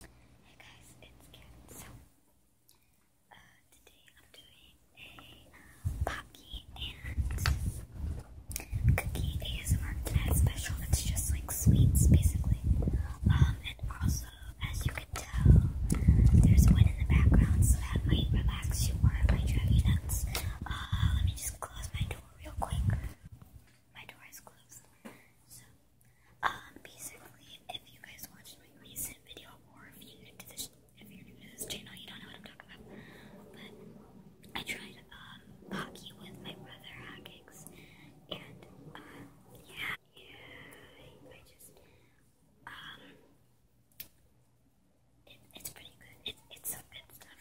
Hey guys, it's Karen. So, uh, today I'm doing a Pocky um, and Cookie ASMR special. It's just like sweets, basically. Um, and also, as you can tell, there's one in the background, so that might relax you or it might drive you nuts. Uh, let me just close my door real quick. My door is closed. So, um, basically, if you guys watched my recent video, or if you're new to this, if you're new to this channel, you don't know what I'm talking about. But I tried um, hockey with my brother Hackix, and um, yeah, yeah, I just um, it, it's pretty good. It, it's some good stuff,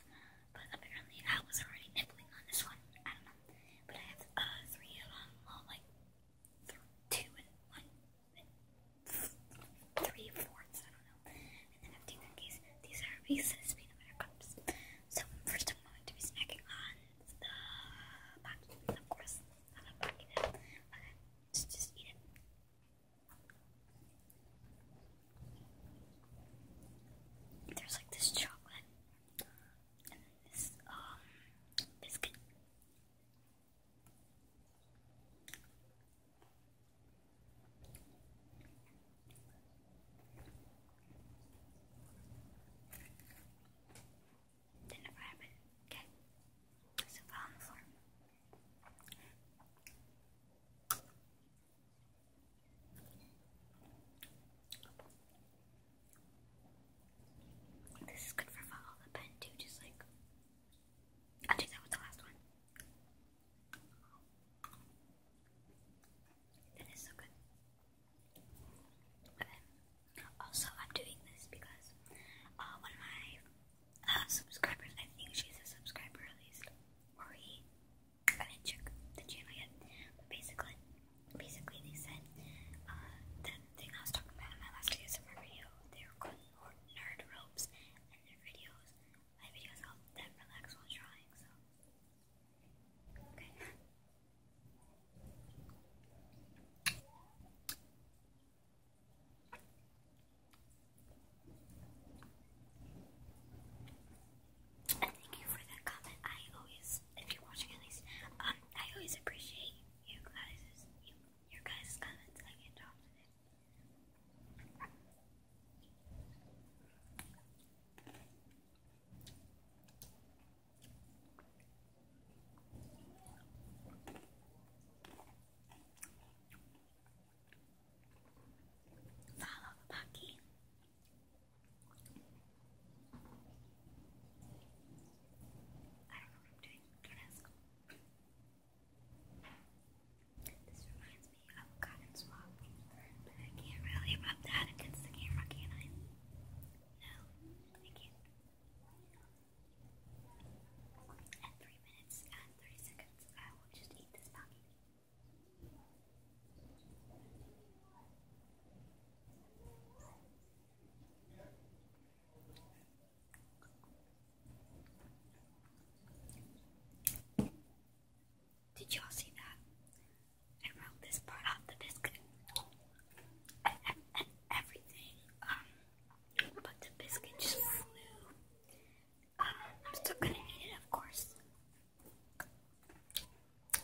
but apparently I was already nibbling on this one. I don't know. But I have uh, three of them, like two and one, and three fourths, I don't know. And then I've taken these. These are Reese's peanut butter cups. So first, I'm going to be snacking on the pocket, of course. I'm pocket it. Okay, just, just eat it. There's like this chocolate and this um biscuit. Then a rabbit cat is on the floor. This is good for follow the pen too, just like I'll that with the last one. That is so good. also, I'm doing this because uh, one of my uh, subscribers, I think she's a subscriber at least, or I didn't check the channel yet, but basically, basically they said uh, thing I was talking about in my last ASMR video. They were called nerd ropes, and their videos, my videos help them relax while drawing. So, okay thank you for that comment. I always, if you're watching at least, um, I always appreciate you guys, you, your guys' comments. I can't talk today. Follow the pucky. I don't know what I'm doing. Don't ask. This reminds me of cotton swab, but I can't really rub that against the camera, can I? No, I can't. At three minutes and thirty seconds, I will just eat this pocket. Did y'all see that? I wrote this part off the biscuit. And, everything. Um, but the biscuit just flew. I'm still gonna eat it, of course.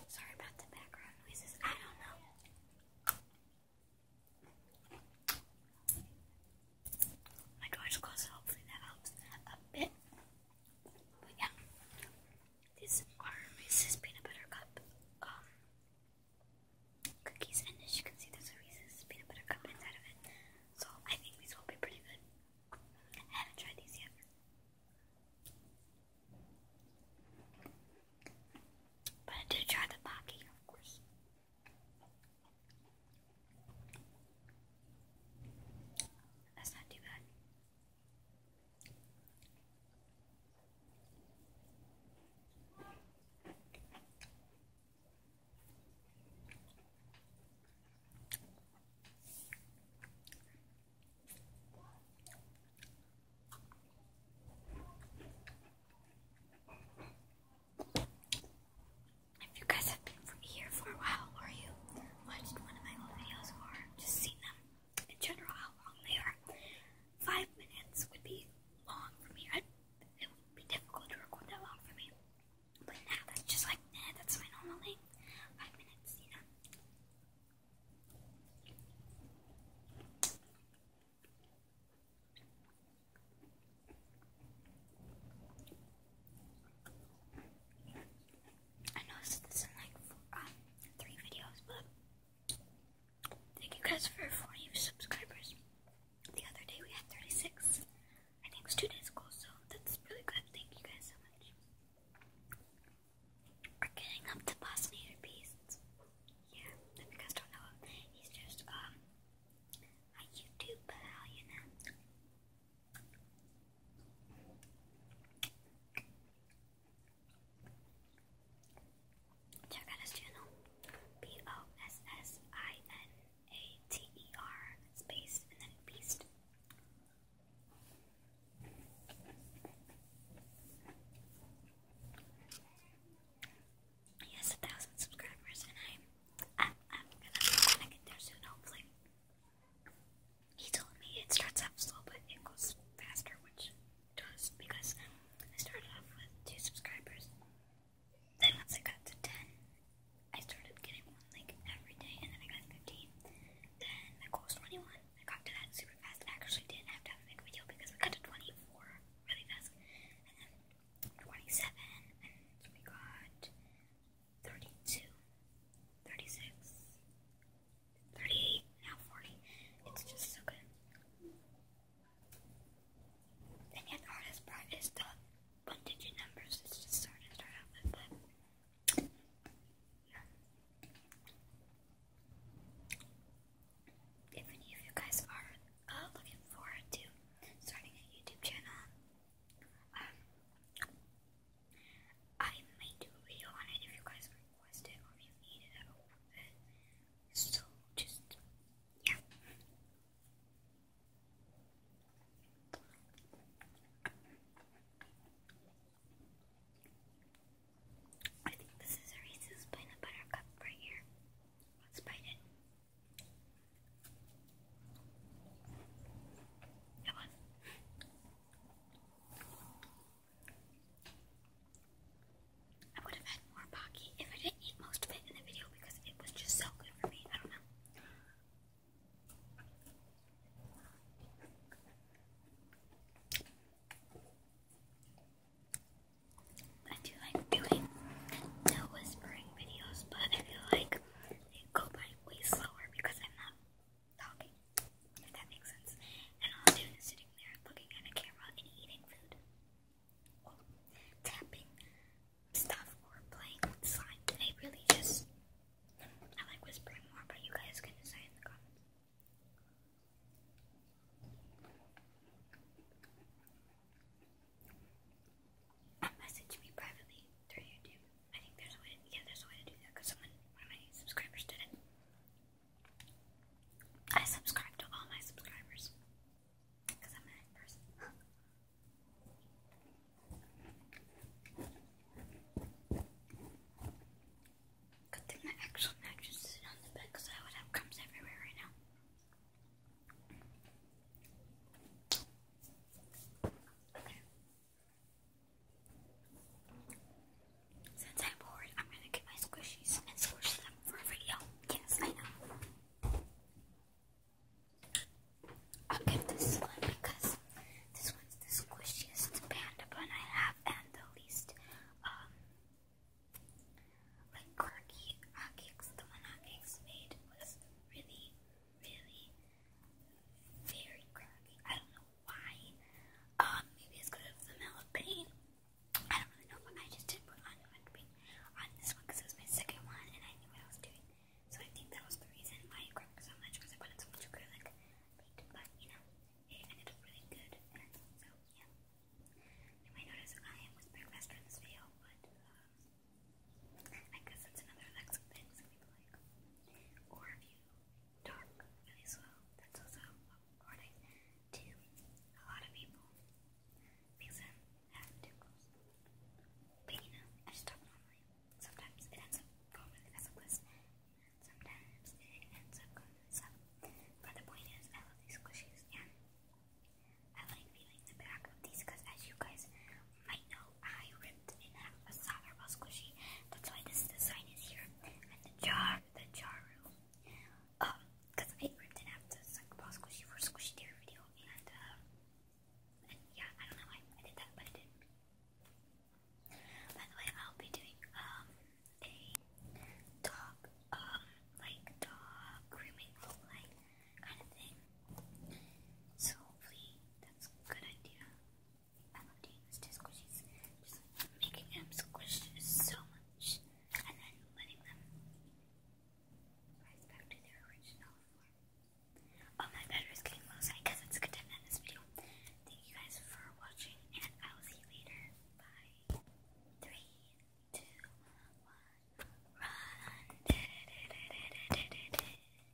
Sorry about the background noises. I don't know. My door's closed, so hopefully that helps a bit. But yeah, these are Reese's peanut butter cup um, cookies, and as you can see, there's Reese's peanut butter cup inside of it. So I think these will be pretty good. haven't tried these yet. But I did try the pocky, That's not too bad. If you guys have been here for a while, or you watched one of my old videos, or just seen them in general, how long they are, five minutes would be long for me it would be difficult to record that long for me. But now that's just like, eh, that's my normal length. Five minutes, you know. I noticed this in like um, three videos, but thank you guys for 40 subscribers. The other day we had 36. I think it's two days ago, so that's really good. Thank you guys so much. We're getting up to Bosnian Beasts. Yeah, if you guys don't know him, he's just um, a YouTube pal, Jagana's channel. B O S S I N A T E R space and then beast. He has a thousand subscribers, and i I'm gonna, get there soon, hopefully. He told me it starts off slow, but it goes faster, which does because um, I started off with two subscribers. Then once I got to ten, I started getting one like every day, and then I got fifteen. Then I goal was twenty-one. I got to that super fast. actually didn't have to have a big video because we got to twenty-four really fast, and then twenty-seven, and we got thirty-two, thirty-six, thirty-eight, now forty. It's just so good. And the hardest part is the one digit numbers. It's just hard to start out with, If any of you guys are uh, looking forward to starting a YouTube channel, um, I may do a video on it if you guys request it or if you need it at all. So just yeah. I think this is a Reese's right here. Let's bite it. That one. I would have had more Pocky if I didn't eat most of it in the video because it was just so good for me. I don't know. I do like doing no whispering videos, but I feel like they go by way slower because I'm not talking. If that makes sense. And all sitting there looking at a camera and eating food. tapping stuff or playing with slime. I really just I like whispering more, but you guys can decide in the comments. message me privately through YouTube. I think there's a way yeah, there's a way to do that because someone, one of my subscribers did it. I subscribe to all my subscribers because I'm a nice person. Good thing the actual mattress is on the bed because I would have crumbs everywhere right now. Since I'm bored, I'm gonna get my squishies and squish them for a video. I will give this one because this one's the squishiest panda bun I have and the least, um, like quirky The one hot made was really, really very quirky. I don't know why. Um, maybe it's because of the smell of I don't really know, but I just did put on pain on this one because it was my second one and I knew what I was doing. So I think that was the reason why it cracked so much because I put in so much acrylic paint. But you know, it ended up really good. so yeah, you might notice I am whispering faster in this but um, I guess that's another Alexa thing some people like. Or you talk as well. That's also according to a lot of people because I have tickles. But you know, I just talk normally. Sometimes it ends up going really fast like this, and sometimes it ends up going really slow. But the point is, I love these squishies, and I like feeling the back of these because, as you guys might know, I ripped in half a sour was squishy. That's why this design is here. And the jar, the jar room. Um, I ripped in half the sour squishy for squishy deer video. Uh, and, yeah, I don't know why I did that, but I did. By the way, I'll be doing, um, a dog, um, like dog grooming like kind of thing. So hopefully that's a good idea. I love doing this squishies. Just like making them squish so much and then letting them rise back to their original form. Oh, my battery getting low, so I guess it's good to end this video. Thank you guys for watching, and I will see you later. Bye. Three, two, one, run.